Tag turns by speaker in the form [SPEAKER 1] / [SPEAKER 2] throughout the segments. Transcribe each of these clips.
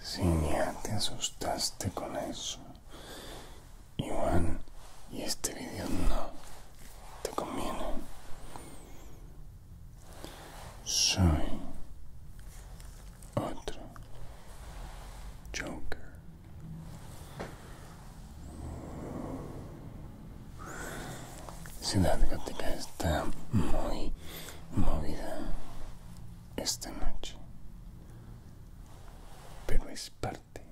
[SPEAKER 1] Si ya te asustaste con eso, Iván, y este video no te conviene. Soy otro Joker. Ciudad Gótica está muy movida esta noche, pero es parte.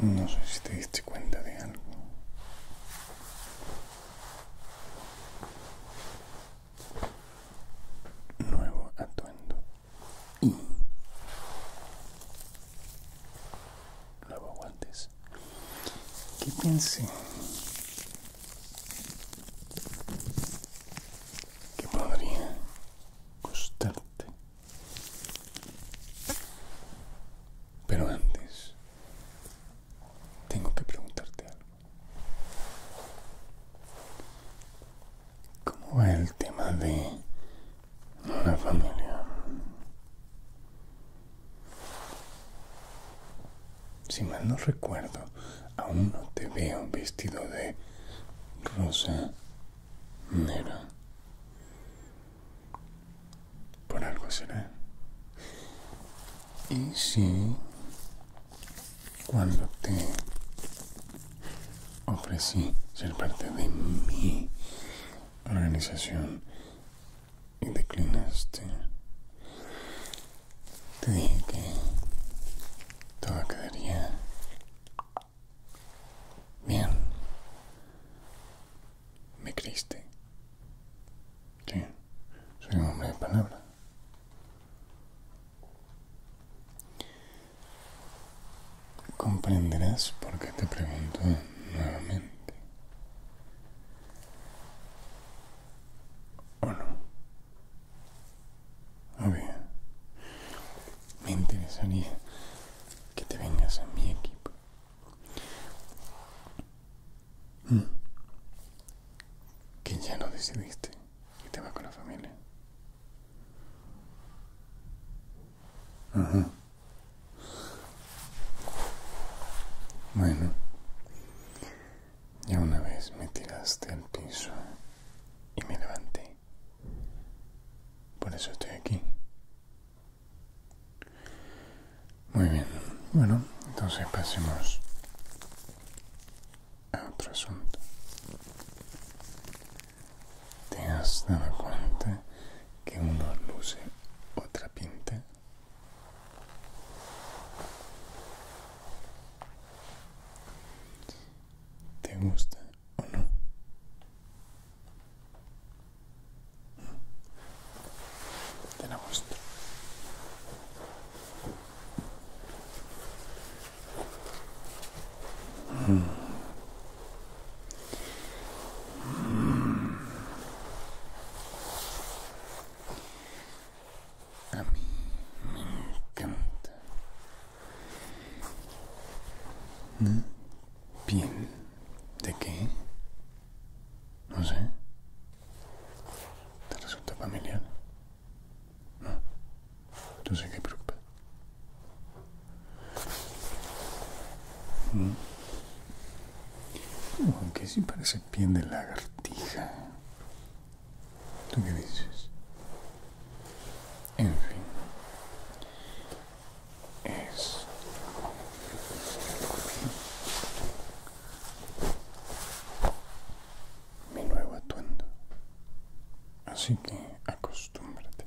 [SPEAKER 1] No sé si te diste cuenta de algo. Nuevo atuendo y lava guantes que piense que podría costarte pero antes tengo que preguntarte algo ¿Cómo va el tema de la familia? Si mal no recuerdo, aún no te veo vestido de rosa negra. Por algo será. Y si cuando te ofrecí ser parte de mi organización y declinaste. Te dije que todo quedaría bien. ¿Me creíste? soy un hombre de palabra. Comprenderás por qué te pregunto nuevamente. ¿O no? A ver, me interesaría que te vengas a mi equipo. Mm. Que ya no decidiste y te vas con la familia. Bueno, ya una vez me tiraste al piso y me levanté. Por eso estoy aquí. Muy bien. Bueno, entonces pasemos a otro asunto. ¿Te has dado cuenta que uno luce, otra pinta. ¿Te gusta o no? ¿Mm? Te la gusta. ¿Mm? A mí me encanta. Bien ¿De qué? No sé. ¿Te resulta familiar? No. Entonces, ¿qué preocupa? Mm. Aunque sí parece piel de lagartija. ¿Tú qué dices? En fin. Es. Mi nuevo atuendo. Así que acostúmbrate.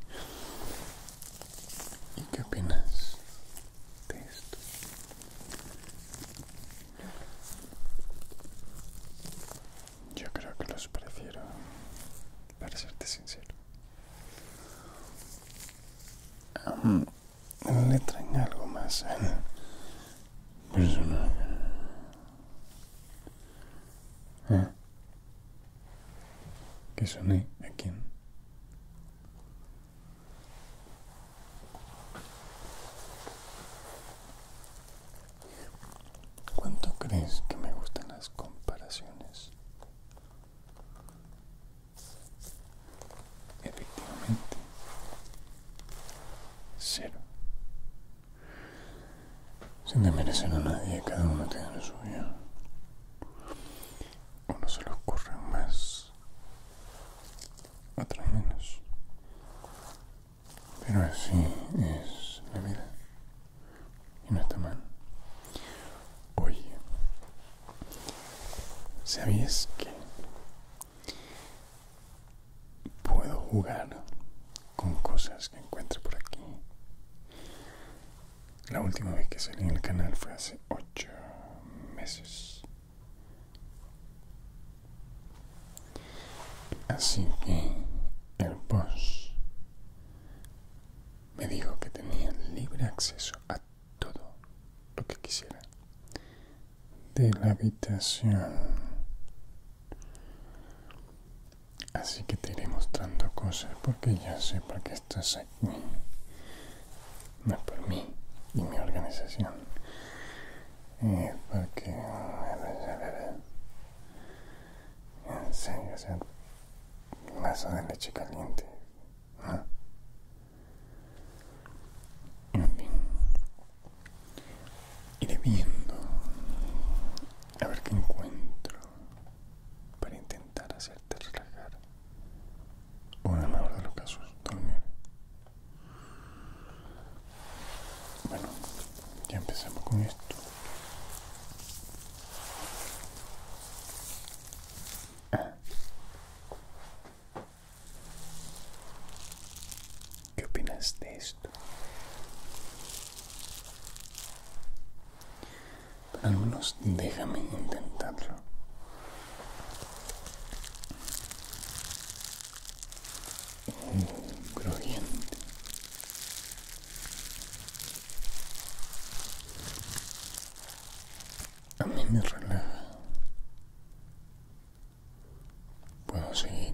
[SPEAKER 1] ¿Y qué opinas de esto? Yo creo que los prefiero, para serte sincero. Um, le traen algo más personal? ¿Eh? ¿Qué soné quién? ¿Cuánto crees que me gustan las comparaciones? Efectivamente, cero sin desmerecer a nadie, cada uno tiene lo suyo. Uno se los ocurre más, otros menos. Pero así es la vida. Y no está mal. Oye, ¿sabías que puedo jugar con cosas que encuentro por aquí? La última vez que salí en el canal fue hace 8 meses. Así que el boss me dijo que tenía libre acceso a todo lo que quisiera de la habitación Así que te iré mostrando cosas porque ya sé por qué estás aquí. No es por mí y mi organización. Es porque... En serio, sé Un vaso de leche caliente. ¿ah? En fin. Iré viendo a ver qué encuentro para intentar hacerte relajar. O en el mejor de los casos, dormir. Bueno, ya empezamos con esto. Ah. ¿Qué opinas de eso? al menos déjame intentarlo. Mm, crujiente. A mí me relaja. Puedo seguir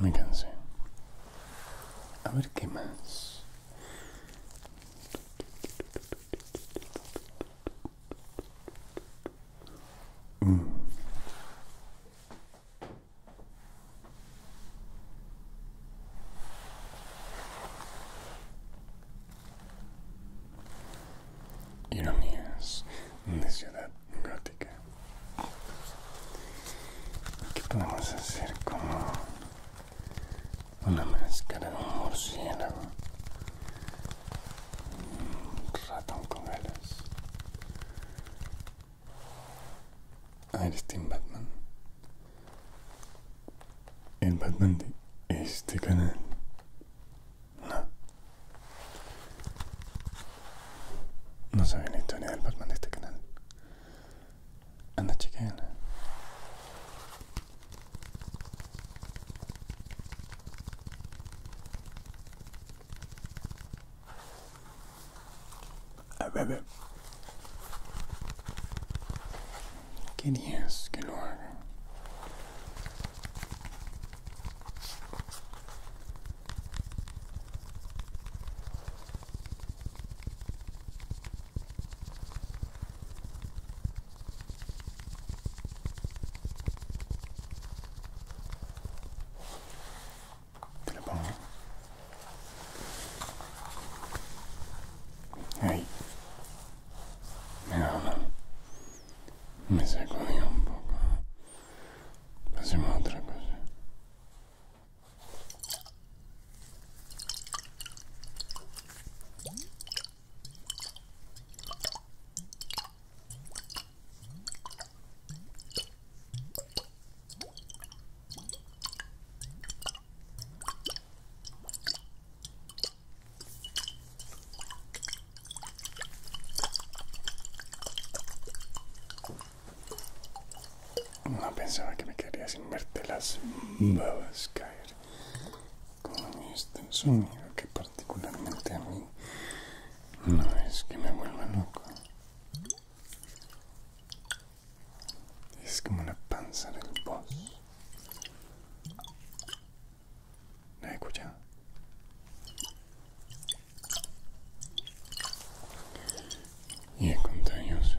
[SPEAKER 1] Me cansé. A ver qué más. Mm. Ironías de ciudad gótica. ¿Qué podemos hacer como una máscara de un murciélago, un ratón con alas, Einstein Batman, el Batman de este canal. No, no saben la historia del Batman de este canal. Anda, chequenla. A ver, querías que lo haga. Te lo pongo. Ahí. Me secó un poco. Pasemos a otra cosa. No pensaba que me quedaría sin verte las babas caer con este sonido que particularmente a mí no es que me vuelva loco es como la panza del boss ¿La he escuchado? Y es contagioso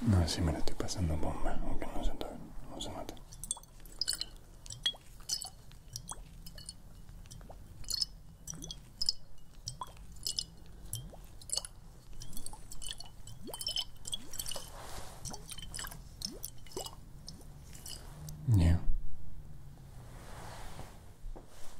[SPEAKER 1] No, si me la estoy pasando bomba, aunque no se, no se note.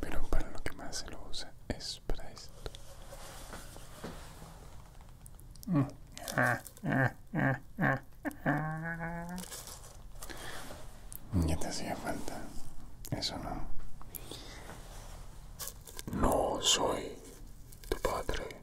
[SPEAKER 1] Pero para lo que más se lo usa es para esto. Mm. Ya te hacía falta. Eso no. No soy tu padre.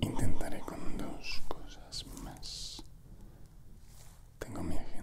[SPEAKER 1] Intentaré con dos cosas más. Tengo mi agenda.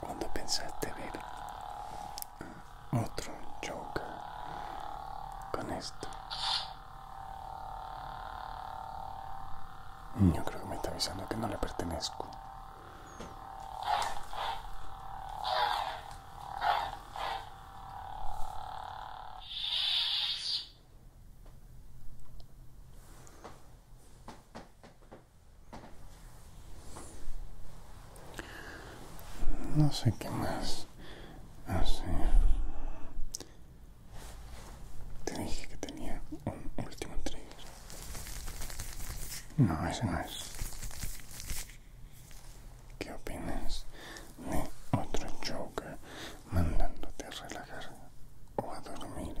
[SPEAKER 1] Cuando pensaste ver otro Joker con esto, yo creo que me está avisando que no le pertenezco. No sé qué más hacer. Te dije que tenía un último trigger. No, ese no es. ¿Qué opinas de otro Joker mandándote a relajar o a dormir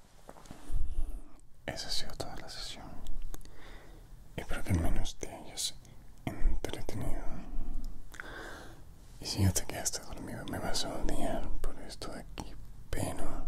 [SPEAKER 1] Esa ha sido toda la sesión. Espero que al menos te hayas entretenido. Y si ya te quedaste dormido, me vas a odiar por esto de aquí, pero.